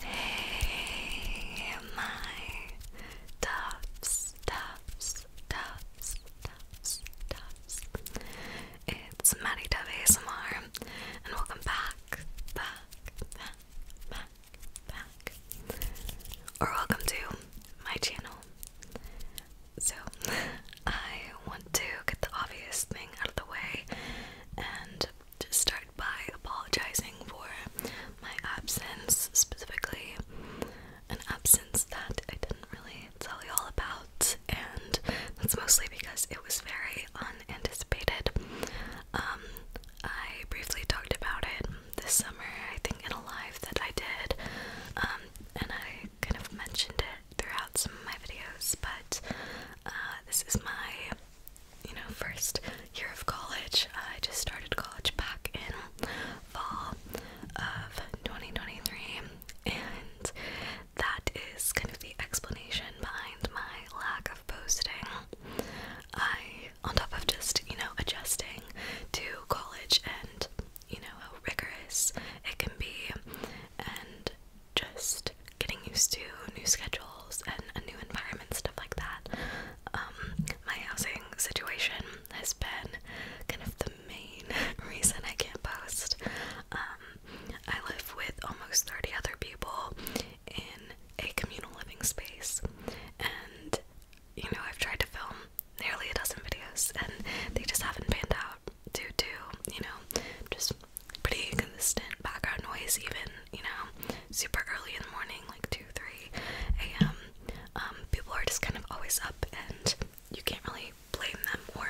Hey, my tops, tops, tops, tops, tops. It's Maddie Dove ASMR, and welcome back, back, back, back, back. Or welcome to my channel. So, I want to get the obvious thing out of the way and to start by apologizing for my absence, specifically an absence that I didn't really tell you all about, and that's mostly because it was very unanticipated. Um, I briefly talked about it this summer, I think, in a live that I did, um, and I kind of mentioned it throughout some of my videos, but uh, this is my, you know, first year of college. I just started college back in fall of 2023, and that is kind of the explanation behind my lack of posting. I, on top of just, you know, adjusting to college and, you know, how rigorous it can be, and just getting used to new schedules and a new environment, stuff like that. Um, my housing situation has been kind of the main reason I can't post. Um, I live with almost 30 other people in a communal living space, and you know, I've tried to film nearly a dozen videos and they just haven't panned out due to, you know, just pretty consistent background noise even, you know, super early in the morning, like 2, 3 a.m. Um, people are just kind of always up and you can't really blame them or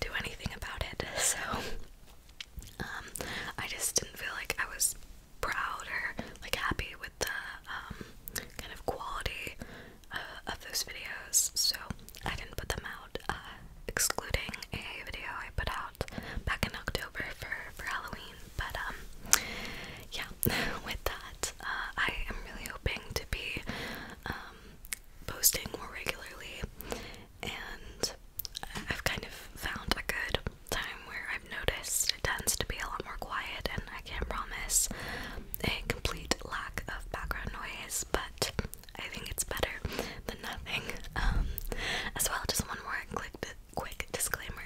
do anything about it. So um, I just didn't feel like I was proud or like happy with the um, kind of quality uh, of those videos. So I didn't put them out, uh, excluding a video I put out back in October for for Halloween. But um, yeah, with that, uh, I am really hoping to be um, posting more regularly, and I've kind of found a good time where I've noticed it tends to be a lot more quiet, and I can't promise a complete lack of background noise, but I think it's better than nothing. Um, as well, just one more quick, quick disclaimer.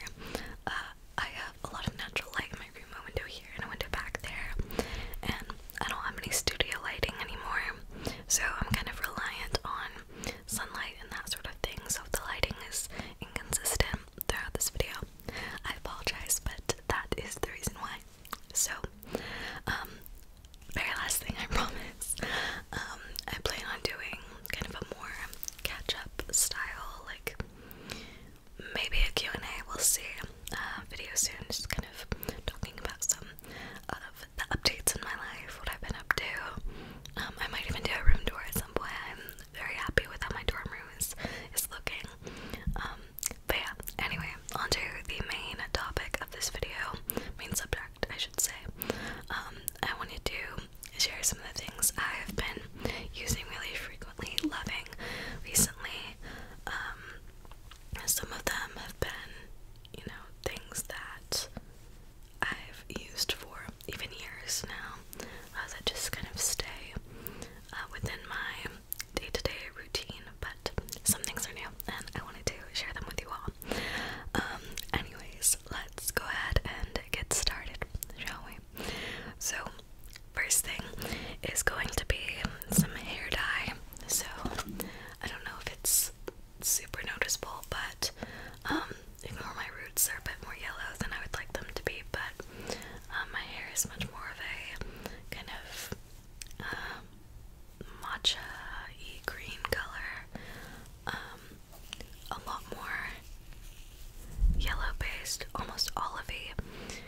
Uh, I have a lot of natural light in my room, a window here and a window back there, and I don't have any studio lighting anymore, so I'm kind of reliant on sunlight and that sort of thing. So the lighting is inconsistent throughout this video, I apologize, but that is the reason why. So, um, very last thing I promise. Um, I plan on doing kind of a more catch-up style, like maybe a Q&A, we'll see, uh, video soon, just kind of talking about some of the updates in my life, what I've been up to. Um, I might even do a room tour at some point. I'm very happy with how my dorm room is, looking. Um, but yeah, anyway, on to the main topic this video, main subject, I should say, um, I wanted to share some of the things I've been using really frequently, loving recently. Um, some of them have been, you know, things that I've used for even years now uh, that just kind of stay uh, within my day to day routine, but some things are new and I wanted to share them with you all. Um, anyways, let's go ahead and get started, shall we? So, first thing is going to be some hair dye. So, I don't know if it's super noticeable, but um, ignore my roots, are a bit more yellow than I would like them to be, but um, my hair is much more of a kind of um uh, matcha y green color um, a lot more yellow based, almost olivey,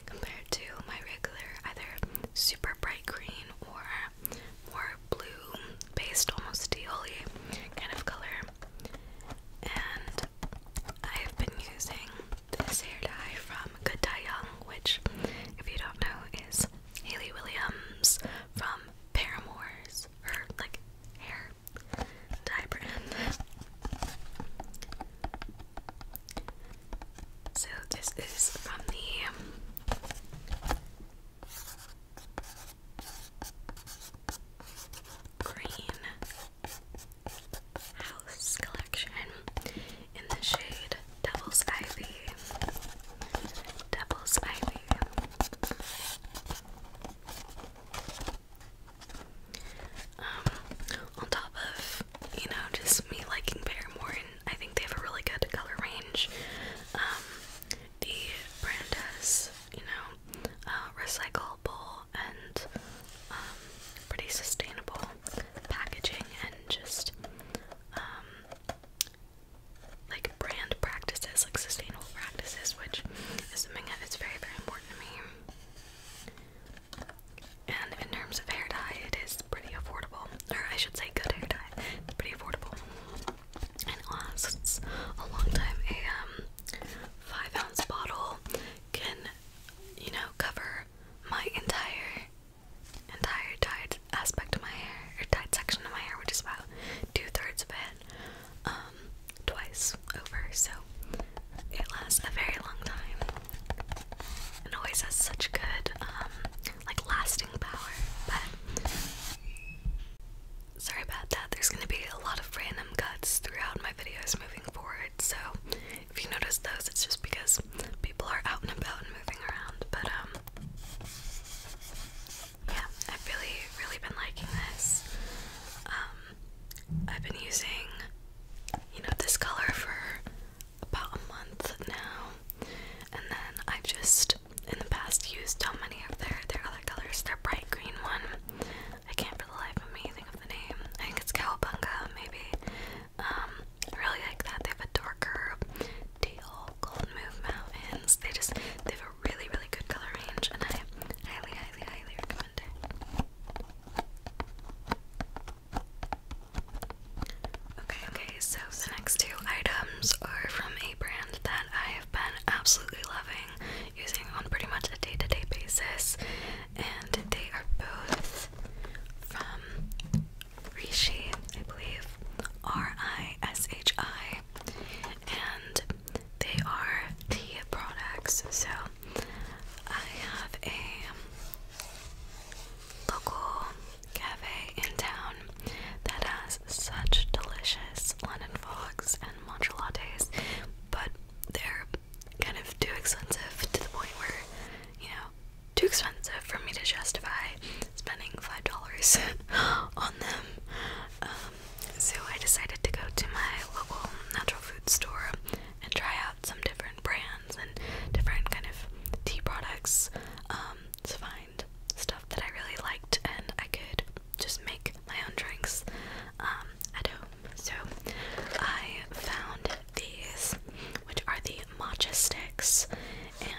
compared to my regular either super bright green or more blue based, almost teal kind of color. And I've been using this hair dye from Good Dye Young, which, if you don't know, is Haley Williams from Paramore's her like hair dye brand. So this is from the um, Green House collection in the shade Devil's Ivy. Devil's Ivy. Um, on top of, you know, just me liking Paramore, and I think they have a really good color range. Um, the brand has, you know, uh, recyclable and um, pretty sustainable packaging and just like brand practices, like sustainable practices, which is something that is very, very important to me. And in terms of hair dye, it is pretty affordable, or I should say, good hair dye. pretty affordable, and lasts a long time. A um, five ounce bottle can, you know, cover my entire entire dye aspect of my hair, or tied section of my hair, which is about two thirds of it, um, twice over. So it lasts a very long time, and always has such good, um, like lasting power. But sorry about that. There's gonna be a lot of random cuts throughout my videos moving forward. So if you notice those, it's just because people are out and about and moving around. But um yeah, I've really, really been liking this. Um, I've been using, you know, this color for about a month now, and then I've just in the past used so many of their their other colors. Their bright green one, I can't for the life of me think of the name. I think it's Cowabunga, maybe. Um, really like that. They have a darker teal, gold move mountains. They just they have a really really good color range, and I highly highly highly recommend it. Okay, okay, so the next two items are from a brand that I have been absolutely loving using on pretty much a day to day basis, and they are both from Rishi, I believe. R I S H I. And they are the products. So I have a local cafe in town that has such delicious London fogs and matcha lattes, but they're kind of too expensive to the point where, you know, too expensive for me to justify spending $5 on them. Um, so I decided to go to my local natural food store and try out some different brands and different kind of tea products um, to find stuff that I really liked and I could just make my own drinks um, at home. So I found these, which are the matcha sticks,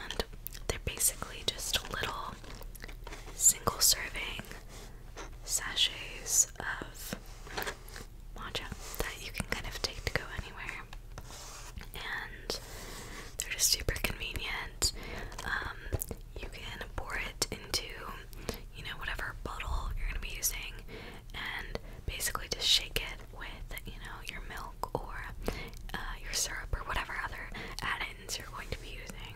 and they're basically just little single serving sachets of matcha that you can kind of take to go anywhere. And they're just super convenient. Um, you can pour it into, you know, whatever bottle you're going to be using and basically just shake it with, you know, your milk or uh, your syrup or whatever other added you're going to be using.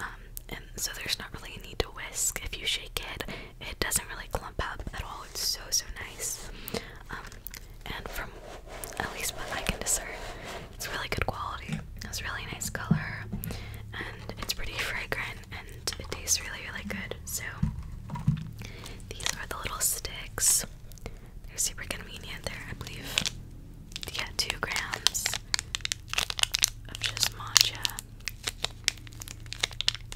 Um, and so there's not really a need to whisk. If you shake it, it doesn't really clump up at all. It's so, so nice. Um, and from at least what I can discern, it's really good quality. It's really nice color, and it's pretty fragrant, and it tastes really, really good. So these are the little sticks. They're super convenient. There, I believe, yeah, two grams of just matcha.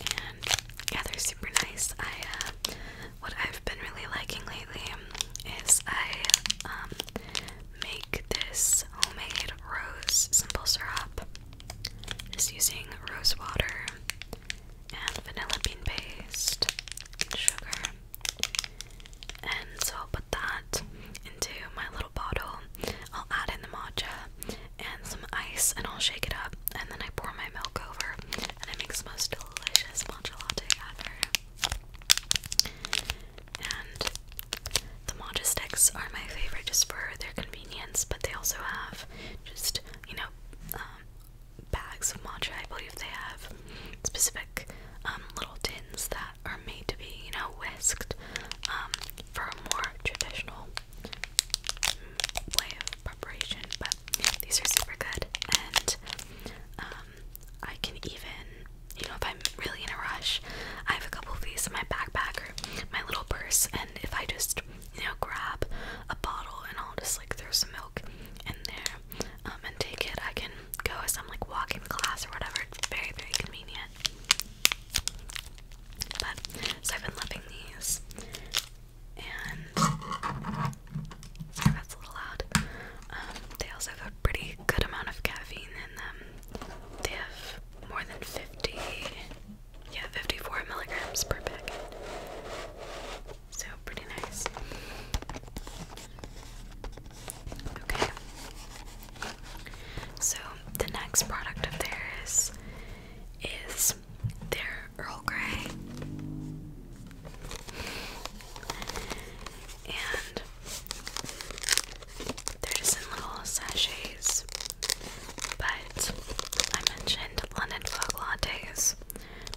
And yeah, they're super nice. I uh, what I've been really liking lately is I um, make this homemade rose simple syrup just using rose water and vanilla bean paste and sugar. And so I'll put that into my little bottle. I'll add in the matcha and some ice and I'll shake it up and then I pour my milk over and it makes the most delicious matcha latte ever. And the matcha sticks are my favorite just for their convenience, but they also have just, you know, um, bags of matcha. I believe they have specific um, little tins that are made to be, you know, whisked um, for a more traditional mm, way of preparation. But these are super good, and um, I can even, you know, if I'm really in a rush, I have a couple of these in my backpack or my little purse, and if I just, you know, grab a bottle and I'll just like throw some milk in there um, and take it. I can go as I'm like walking class or whatever. It's very, very convenient. But so I've been loving these. And sorry, that's a little loud. Um, they also have a pretty good amount of caffeine in them. They have more than 50, yeah, 54 milligrams per packet. So pretty nice. Okay. So the next product of theirs is their Earl Grey. And they're just in little sachets. But I mentioned London Fog Lattes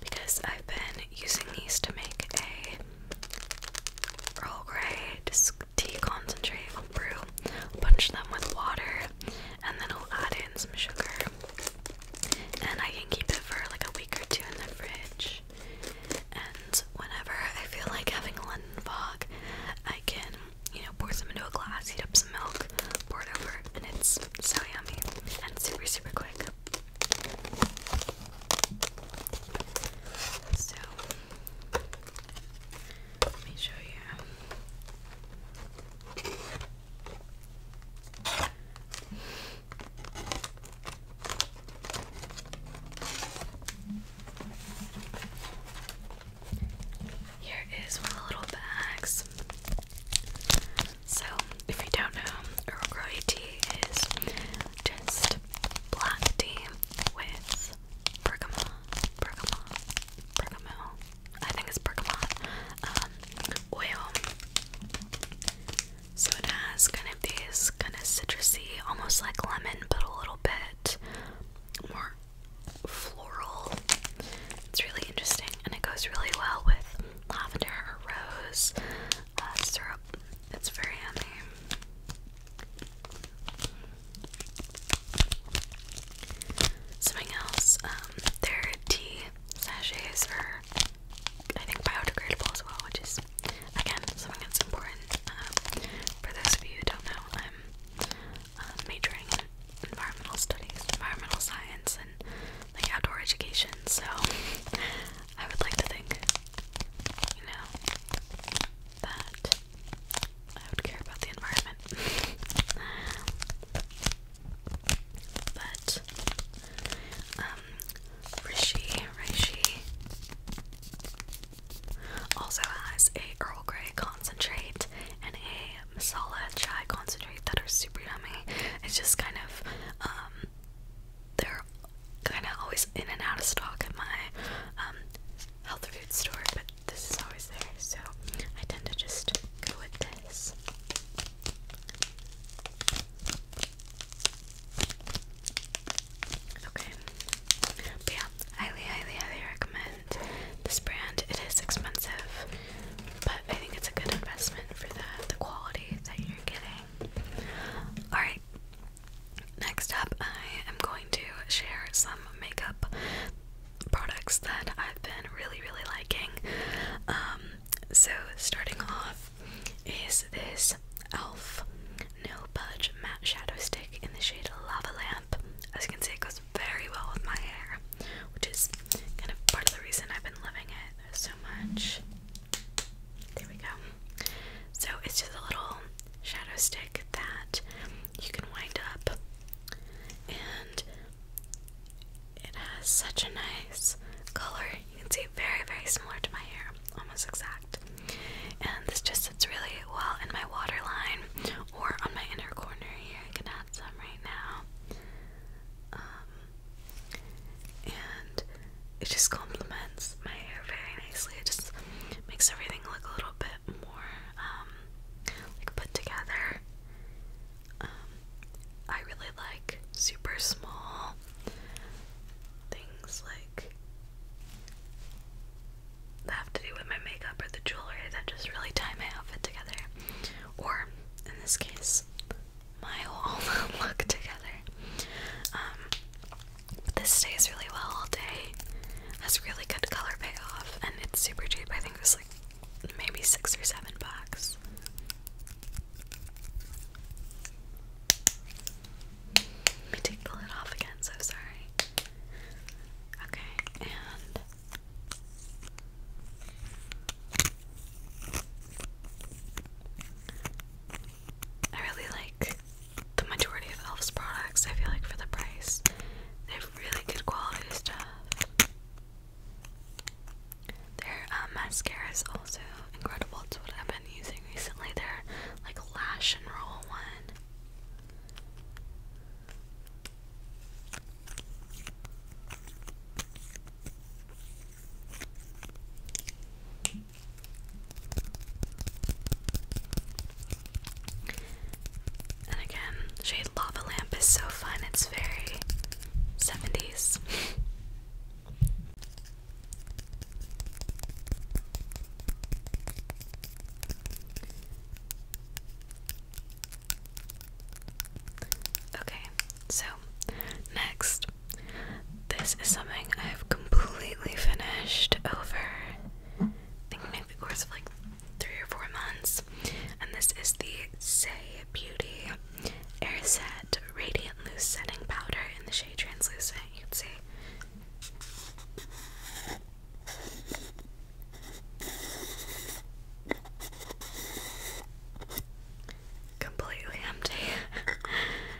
because I've been using these to make a Earl Grey, tea concentrate, brew, punch them with water, and then I'll add in some sugar. And I can keep it for like a week or two in the fridge. And whenever I feel like having a London fog, I can, you know, pour some into a glass, heat up some milk, pour it over, and it's so yummy and super, super quick. So let me show you. Here is one of the little bags. So, if you don't know, Earl Grey tea is just black tea with bergamot, bergamot, bergamot. I think it's bergamot um, oil. So it has kind of these kind of citrusy, almost like lemon, but a little bit more floral. It's really interesting, and it goes really well with lavender or rose uh, syrup. It's very handy. Something else, um, their tea sachets are, I think, biodegradable as well, which is, again, something that's important. Um, for those of you who don't know, I'm uh, majoring in environmental studies, environmental science, and like outdoor education, so I would like to think, you know, that I would care about the environment. but, um, Rishi, Rishi also has a Earl Grey concentrate and a masala chai concentrate that are super yummy. It's just kind of, um, they're kind of always in and out of stock at my um, health food store, but this is always there, so I tend to just go with this. Okay. yeah, highly, highly, highly recommend this brand. It is expensive, but I think it's a good investment for the, the quality that you're getting. Alright, Next up, I am going to share some makeup products that I've been really, really liking. Um, so, starting off is this e.l.f. No Budge Matte Shadow Stick in the shade Lava Lamp. As you can see, it goes very well with my hair, which is kind of part of the reason I've been loving it so much. There we go. So it's just a little shadow stick that you can wind up, and it has such a nice color. You can see very, very similar to my hair, almost exact. And this just sits really well in my waterline or on my inner corner here. I can add some right now. Um, and it just complements my hair very nicely. It just makes everything look a little bit more um, like put together. Um, I really like super small things like that have to do with my makeup or the jewelry that just really tie my outfit together. Or in this case, my whole look together. Um, but this stays really well all day. Has really good color payoff, and it's super cheap. I think it's like maybe six or seven bucks. Let me take the lid off again, so sorry. Okay, and I really like the majority of Elf's products, I feel like, for the price. They have really good quality stuff. Their um, mascara is also incredible. It's what I've been using recently. Their like lash and roll one. And again, shade Lava Lamp is so fun, it's very 70s. okay, so next, this is something I have completely finished over, I think the course of like three or four months. And this is the Say Beauty Air Radiant Loose Setting Powder in the shade Translucent. You can see. Completely empty.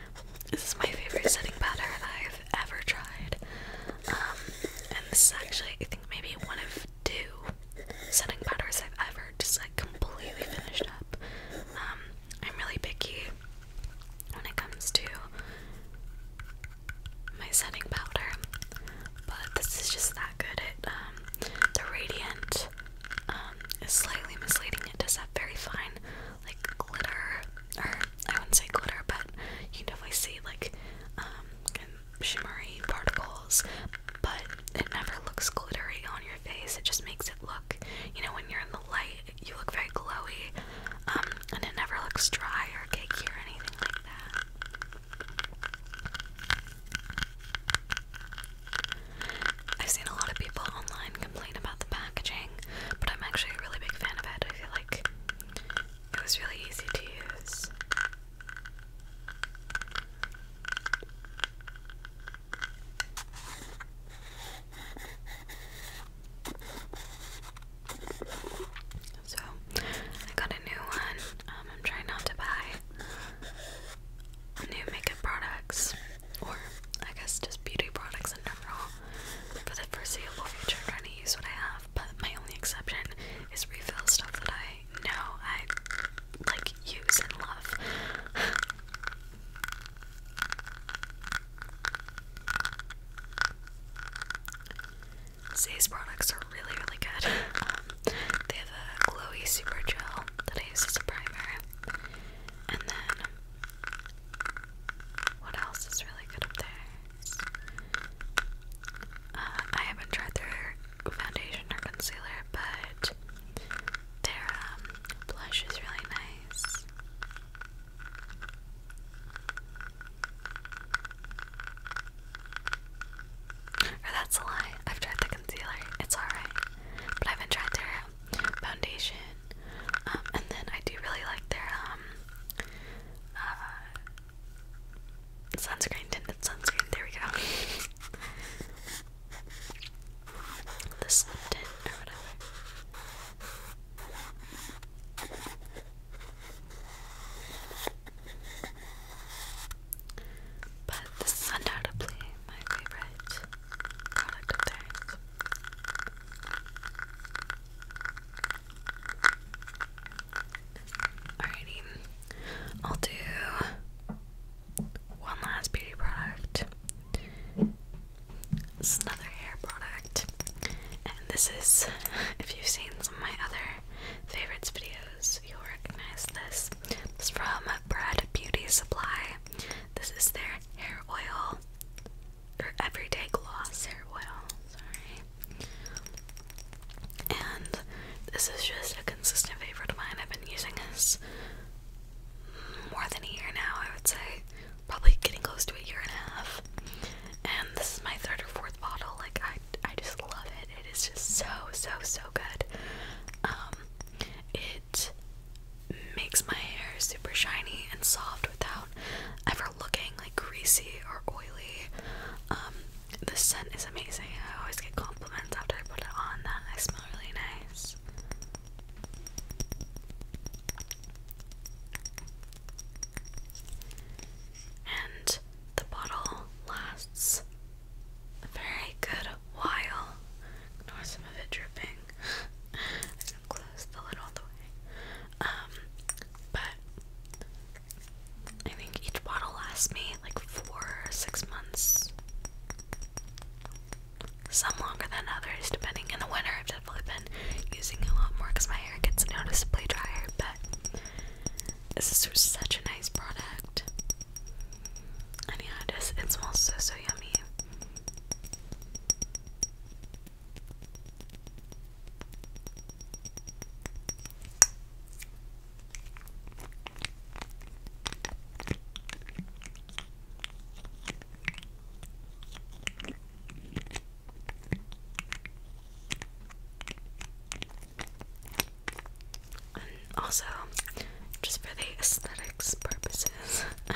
This is my favorite setting powder that I've ever tried. Um, and this is actually, I think, maybe one of two setting powders I've ever just like completely finished up. Um, I'm really picky when it comes to my setting powder, but this is just that good. It, um, the Radiant is slightly misleading. It does have very fine like glitter, or I wouldn't say glitter, but you can definitely see like um, shimmery particles. But it never looks glittery on your face. It just makes it look, you know, when you're in the light, you look very glowy, um, and it never looks dry or cakey or anything like that. I've seen a lot of people online complain about the packaging, but I'm actually a really big fan of it. I feel like it was really easy to use. So I got a new one. Um, I'm trying not to buy new makeup products, or I guess just beauty products in general for the foreseeable future, trying to use what I have. But my only exception is refill stuff that I know I like, use, and love. These products are really, really good. Um, they have a glowy super gel that I use as a primer, and then what else is really good up there? Uh, I haven't tried their foundation or concealer, but their um, blush is really nice. Or that's a lie. I've tried the concealer. It's alright. But I haven't tried their foundation. Um, and then I do really like their um uh, sunscreen, tinted sunscreen, there we go. the sun or whatever. But this is undoubtedly my favorite product of theirs. Alrighty, I'll do one last beauty product. This is another hair product, and this is if you've seen some of my other favorites videos, you'll recognize this. It's from Bread Beauty Supply. This is their hair oil or everyday gloss hair oil. Sorry. And this is just a consistent favorite of mine. I've been using this more than a year now, I would say. Probably getting close to a year and a half. And this is my third or fourth bottle. Like I I just love it. It is just so, so, so good. Um it makes my hair super shiny and soft without ever looking like greasy or oily. Um, the scent is amazing. I always get compliments after I put it on that I smell really nice. And the bottle lasts a very good while. Ignore some of it dripping. close the lid all the way. Um, but I think each bottle lasts me like four six months. Some longer than others, depending. In the winter, I've definitely been using a lot more because my hair gets noticeably drier. But this is such a nice product. And yeah, it smells so, so yummy. And um, also, just for the aesthetics purposes,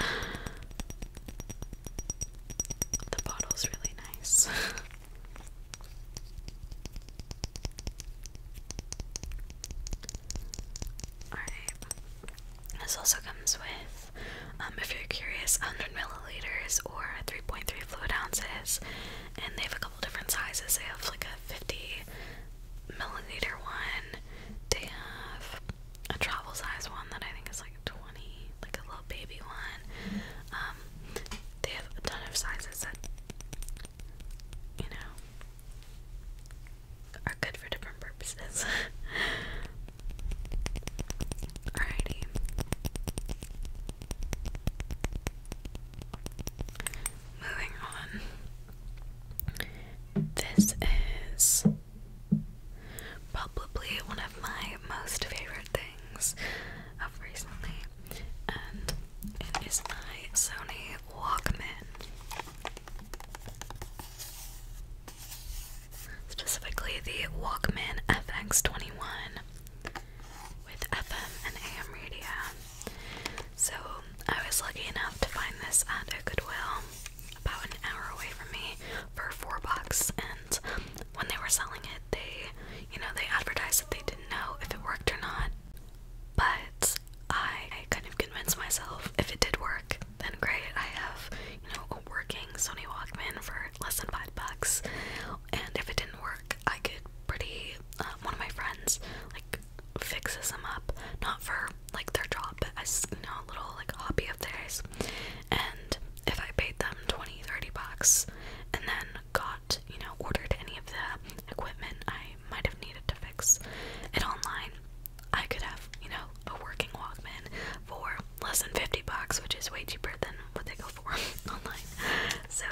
The bottle's really nice. Alright. This also comes with, um, if you're curious, 100 milliliters or 3.3 fluid ounces. And they have a couple different sizes. They have like a 50 milliliter one, they have a travel size one that I think is like. 20, like a little baby one. Um, they have a ton of sizes that, you know, are good for different purposes. Alrighty. Moving on. This is probably one of my most favorite things things recently, and it is my Sony Walkman. Specifically, the Walkman FX21 with FM and AM radio. So, I was lucky enough to find this at a Goodwill about an hour away from me for four bucks, brands. When they were selling it, they, you know, they advertised that they didn't know if it worked or not. But I, I kind of convinced myself if it did work, then great. I have, you know, a working Sony Walkman for less than five bucks. And if it didn't work, I could pretty, uh, one of my friends, like, fixes them up. Not for, like, their job, but as, you know, a little, like, hobby of theirs. And if I paid them 20, 30 bucks and then got, you know, ordered any of the equipment I might have needed to fix it online, I could have, you know, a working Walkman for less than 50 bucks, which is way cheaper than what they go for online. So,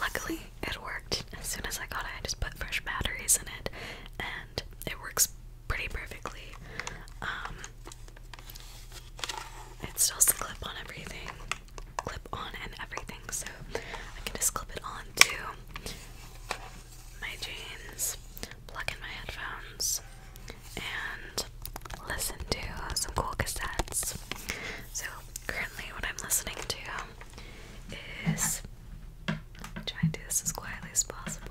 luckily, it worked. As soon as I got it, I just put fresh batteries in it and it works pretty perfectly. Um, it still has clip on everything, clip on and everything, so I can just clip it on to my jeans, plug in my headphones, and listen to some cool cassettes. So, currently, what I'm listening to is. trying to do this as quietly as possible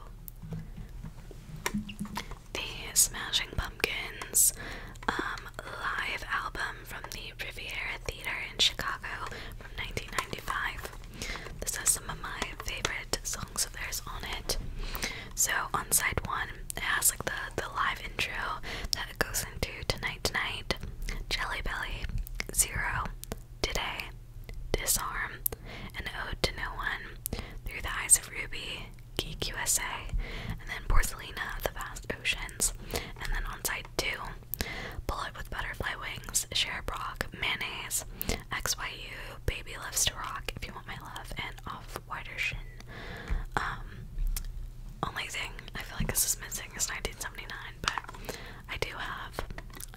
the Smashing Pumpkins um, live album from the Riviera Theater in Chicago from 1995. This has some of my favorite songs of theirs on it. So on side one, it has like the the live intro that goes into Tonight Tonight, Jelly Belly, Zero, Today, Disarm, An Ode to No One, Through the Eyes of Ruby, Geek USA, and then Porcelina of the Vast Oceans, and then on side two, Bullet with Butterfly Wings, Share Brock, Mayonnaise, XYU, Baby Loves to Rock, If You Want My Love, and Off Wider Shin. Um, only thing I feel like this is missing is 1979, but I do have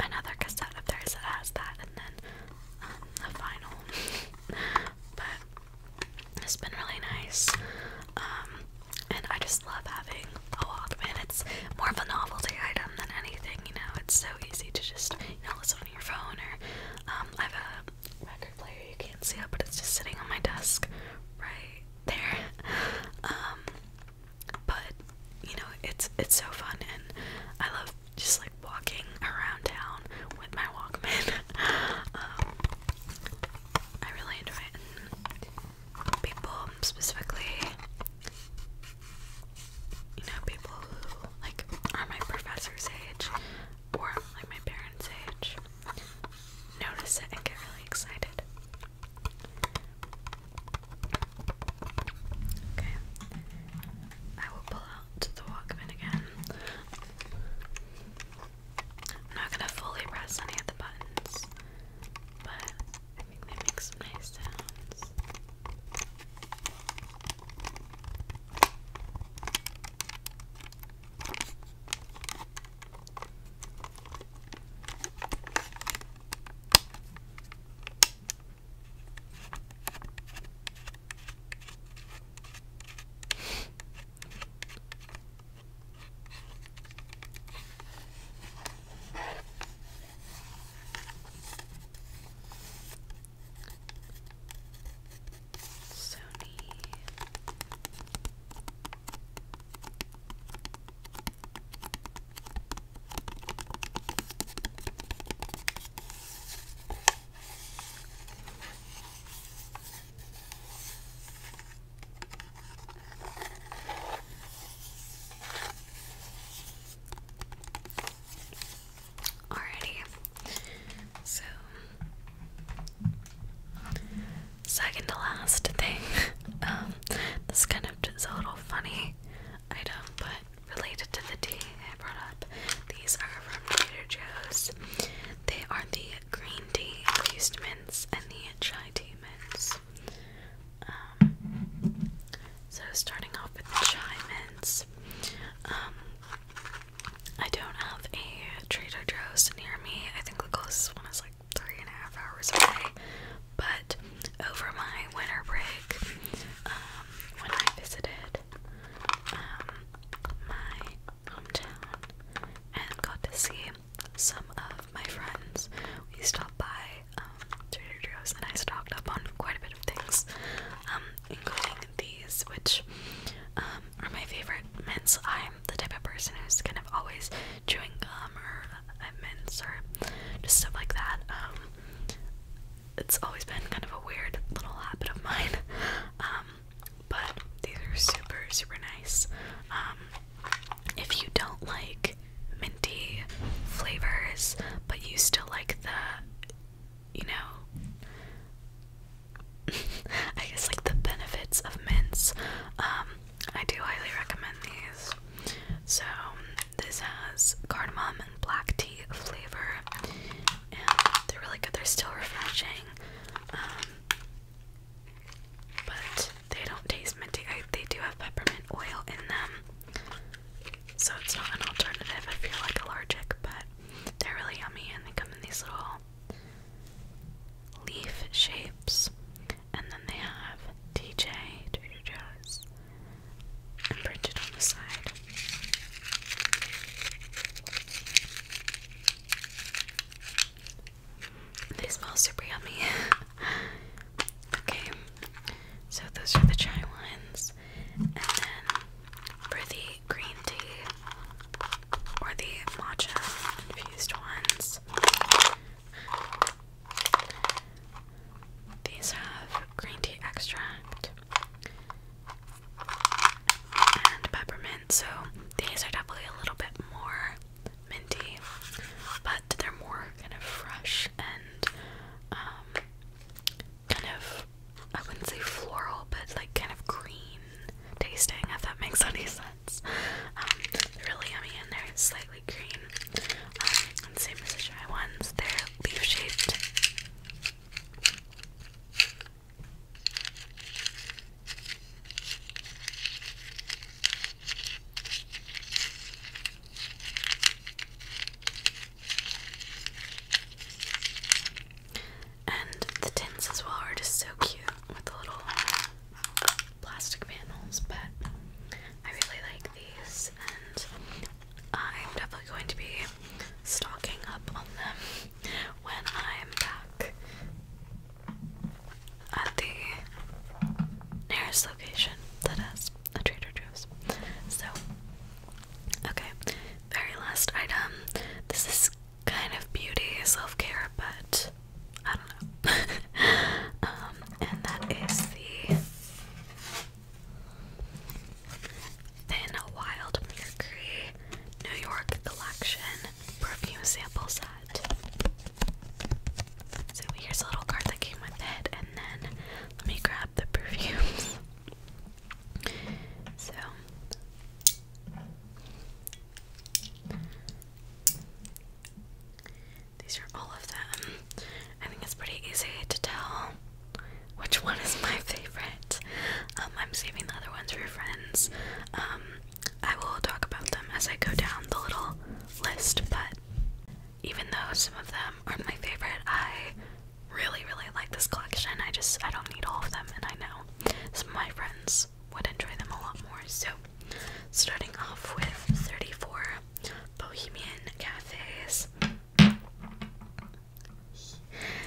another cassette of theirs that has that, and then um, a final but it's been really nice. Um, and I just love having a Walkman. It's more of a novelty item than anything, you know. It's so easy to just, you know, listen on your phone or um, I have a record player. You can't see it, but it's just sitting on my desk right there. Um, but you know, it's it's so fun, and I love just like walking around town with my Walkman. Um, I really enjoy it. people specifically, you know, people who like are my professor's age or like my parents' age notice it and get really excited. Okay, I will pull out out the Walkman again. I'm not gonna fully press any of the buttons, but I think they make some nice sounds. Sony Alrighty, so second to last thing, um, this is kind of just a little funny item, but related to the tea. I brought up. These are from Trader Joe's. They are the green tea infused mints and the chai tea mints. Um, so starting off with the chai mints. Um, I don't have a Trader Joe's near me. I think the closest one is like three and a half hours away. But over my winter break, um, when I visited, my hometown and got to see some of my friends. We stopped by um, Trader Joe's and I stocked up on quite a bit of things, um, including these, which um, are my favorite mints. I'm the type of person who's kind of always chewing gum or uh, mints or just stuff like that. Um, it's always been kind of a weird little habit of mine. Um, but these are super, super nice. Um, if you don't like minty flavors, but you still like the, you know, I guess like the benefits of mints, um, I do highly recommend these. So, this has cardamom and black tea flavor, and they're really good. They're still refreshing, um, but they don't taste minty. they do have peppermint oil in them, so it's not an alternative if you're like allergic. But they're really yummy, and they come in these little leaf shapes. And then they have DJ Trader Joe's and printed on the side. They smell super yummy. okay, so those are the chai ones. And then for the green tea or the matcha infused ones, these have green tea extract, and peppermint. So these are definitely a little bit more minty, but they're more kind of fresh and um, kind of I wouldn't say floral, but like kind of green tasting. If that makes any sense. Um, really yummy and they're slightly green. Um, and same as the dry ones, they're leaf shaped. And the tins as well are just so cute with the little um, plastic panels, but I really like these and I'm definitely going to be stocking up on them when I'm back at the nearest location that has a Trader Joe's. So, okay, very last item. This is kind of beauty, self care, but I don't know. Um, and that is the a Wild Mercury New York Collection perfume sample set. So here's a little card that came with it, and then let me grab the perfumes. So these are all of them. I think it's pretty easy to tell which one is my favorite. Um, I'm saving the other ones for friends. Um, I will talk about them as I go down the little list, but even though some of them are my favorite, I really, really like this collection. I just, I don't need all of them, and I know some of my friends would enjoy them a lot more. So, starting off with 34 Bohemian Cafes.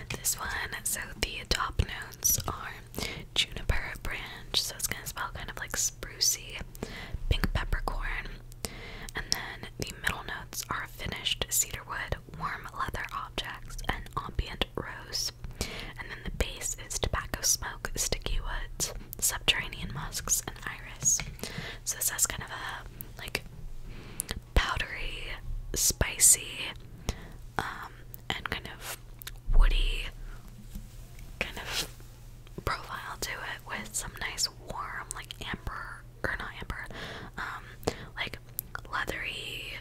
This one, so the top notes are juniper branch, so it's gonna smell kind of like sprucey, pink peppercorn, and then the middle notes are finished cedarwood, warm leather objects, and ambient rose. And then the base is tobacco smoke, sticky woods, subterranean musks, and iris. So this has kind of a like powdery, spicy, um, and kind of woody kind of profile to it with some nice warm, like amber, or not amber, um, like leathery,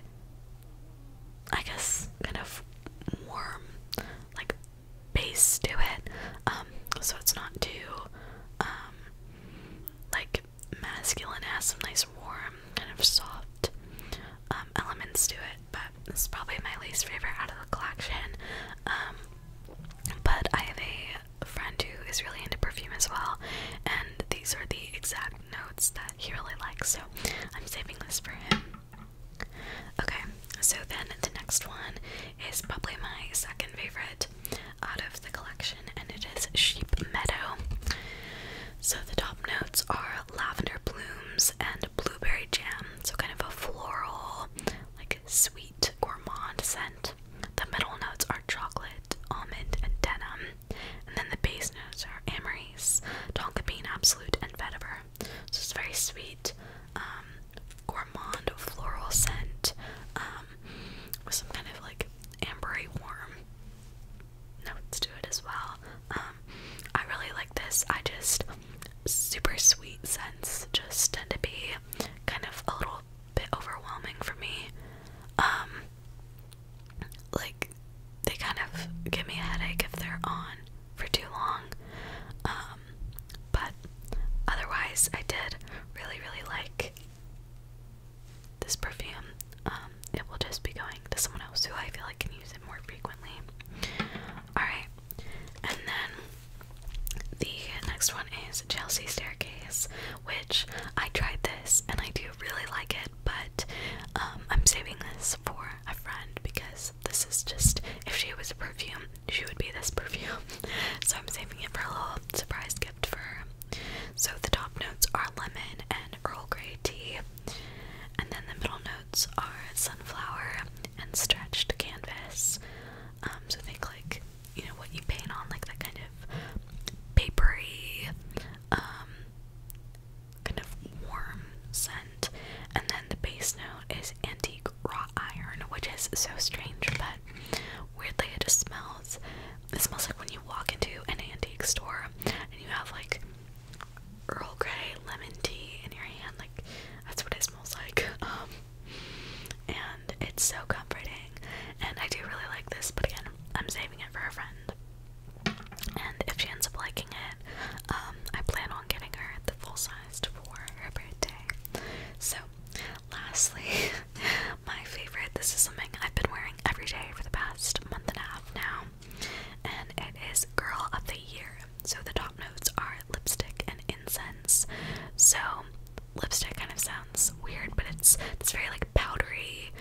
I guess, kind of warm, like base to it. Um, so it's not too, like masculine has some nice warm, kind of soft um, elements to it, but this is probably my least favorite out of the collection. Um, but I have a friend who is really into perfume as well, and these are the exact notes that he really likes, so I'm saving this for him. Okay, so then the next one is probably my second favorite out of the collection, and it is Sheep Meadow. So the top notes are lavender blooms and blueberry jam, so kind of a floral, like sweet gourmand scent. The middle notes are chocolate, almond, and denim. And then the base notes are amberries, tonka bean absolute, and vetiver. So it's very sweet, um, gourmand floral scent, um, with some kind of like ambery warm notes to it as well. Um, I really like this. I just super sweet scents just tend to be kind of a little bit overwhelming for me. Um, like they kind of give me a headache if they're on for too long. Um, but otherwise, I did really, really like this perfume, um, it will just be going to someone else who I feel like can use it more frequently. Alright, and then the next one is Chelsea Staircase, which I tried this and I do really like it, but um, I'm saving this for a friend because this is just, if she was a perfume, she would be this perfume. so I'm saving it for a little surprise gift for her. So the top notes are lemon and Earl Grey tea, and then the middle notes are sunflower and stretched canvas. Um, so think like you know what you paint on, like that kind of papery, um, kind of warm scent. And then the base note is antique raw iron, which is so strange, but weirdly it just smells. It smells like when you walk into an antique store and you have like Earl Grey lemon tea in your hand. Like that's what it smells like. Um, and it's so comforting. And I do really like this, but again, I'm saving it for a friend. And if she ends up liking it, um, I plan on getting her the full size for her birthday. So, lastly, my favorite. This is something I've been wearing every day for the past month and a half now and it is Girl of the Year. So the top notes are lipstick and incense. So lipstick kind of sounds weird, but it's this very like powdery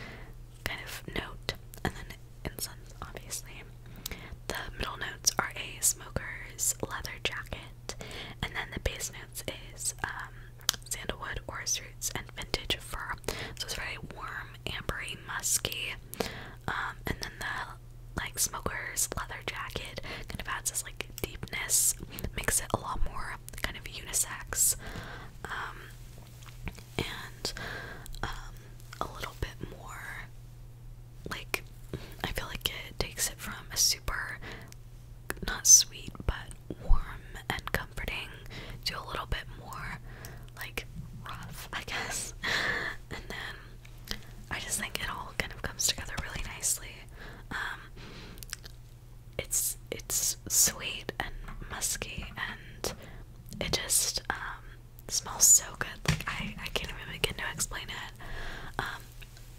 kind of note, and then incense, obviously. The middle notes are a smoker's leather jacket, and then the base notes is um, sandalwood or and vintage fur. So it's very warm, ambery, musky. Um, and then the like smoker's leather jacket kind of adds this like deepness, makes it a lot more kind of unisex. Um, and um, a little bit more like I feel like it takes it from a super not sweet but warm and comforting to a little bit more like rough, I guess. And then I just think it all kind of comes together really nicely. Um, it's it's sweet and musky, and it just um, smells so good. I I can't even begin to explain it. Um,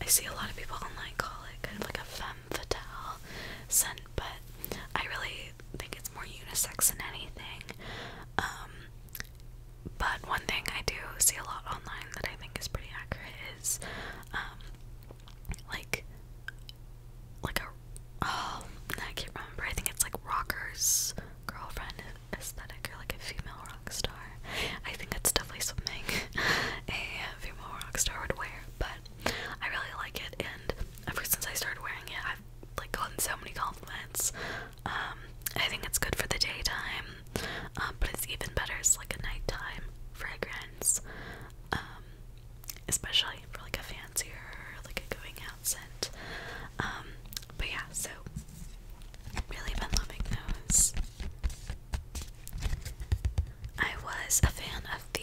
I see a lot of people online call it kind of like a femme fatale scent, but I really I think it's more unisex than anything. Um, but one thing I do see a lot online that I think is pretty accurate is, um, like, like a, oh, I can't remember. I think it's like rockers girlfriend aesthetic or like a female rock star. I think that's definitely something a female rock star would wear, but I really like it. And ever since I started wearing it, i like gotten so many compliments. Um, I think it's good for the daytime, um, but it's even better It's like a nighttime fragrance, um, especially for like a fancier, like a going out scent. but yeah, so really been loving those. I was a fan of the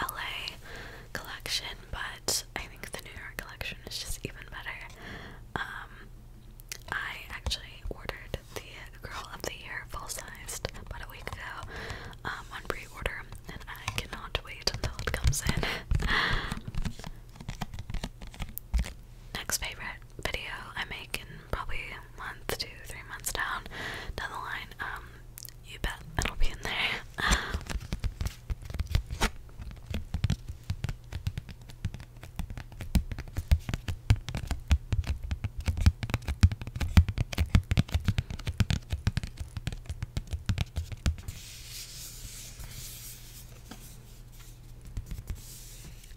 LA collection, but I think the New York collection is just even better. Um, I actually ordered the Girl of the Year full sized about a week ago um, on pre order, and I cannot wait until it comes in. Next favorite video I make in probably a month, two, three months down down the line. Um, you bet it'll be in there.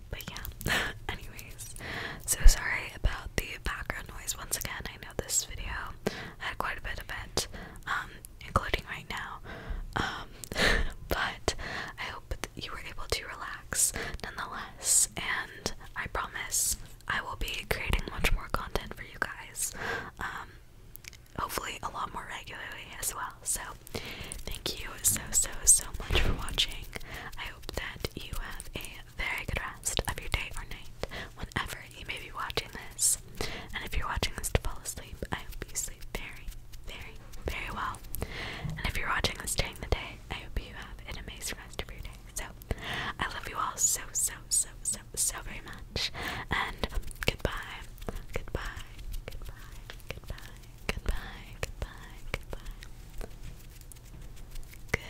But yeah, anyways, so sorry about the background noise once again. I know this video had quite a bit of it. Um, including right now. Um, but I hope that you were able to relax nonetheless, and I promise I will be creating much more content for you guys. Um, hopefully, a lot more regularly as well. So, thank you so, so, so much for watching. I hope that you have a very good rest of your day or night, whenever you may be watching this. And if you're watching this to fall asleep, I hope you sleep very, very, very well. And if you're watching this during the day, I hope you have an amazing rest of your day. So, I love you all so, so, so, so, so very much. And goodbye, goodbye, goodbye, goodbye, goodbye, goodbye, goodbye. Goodbye.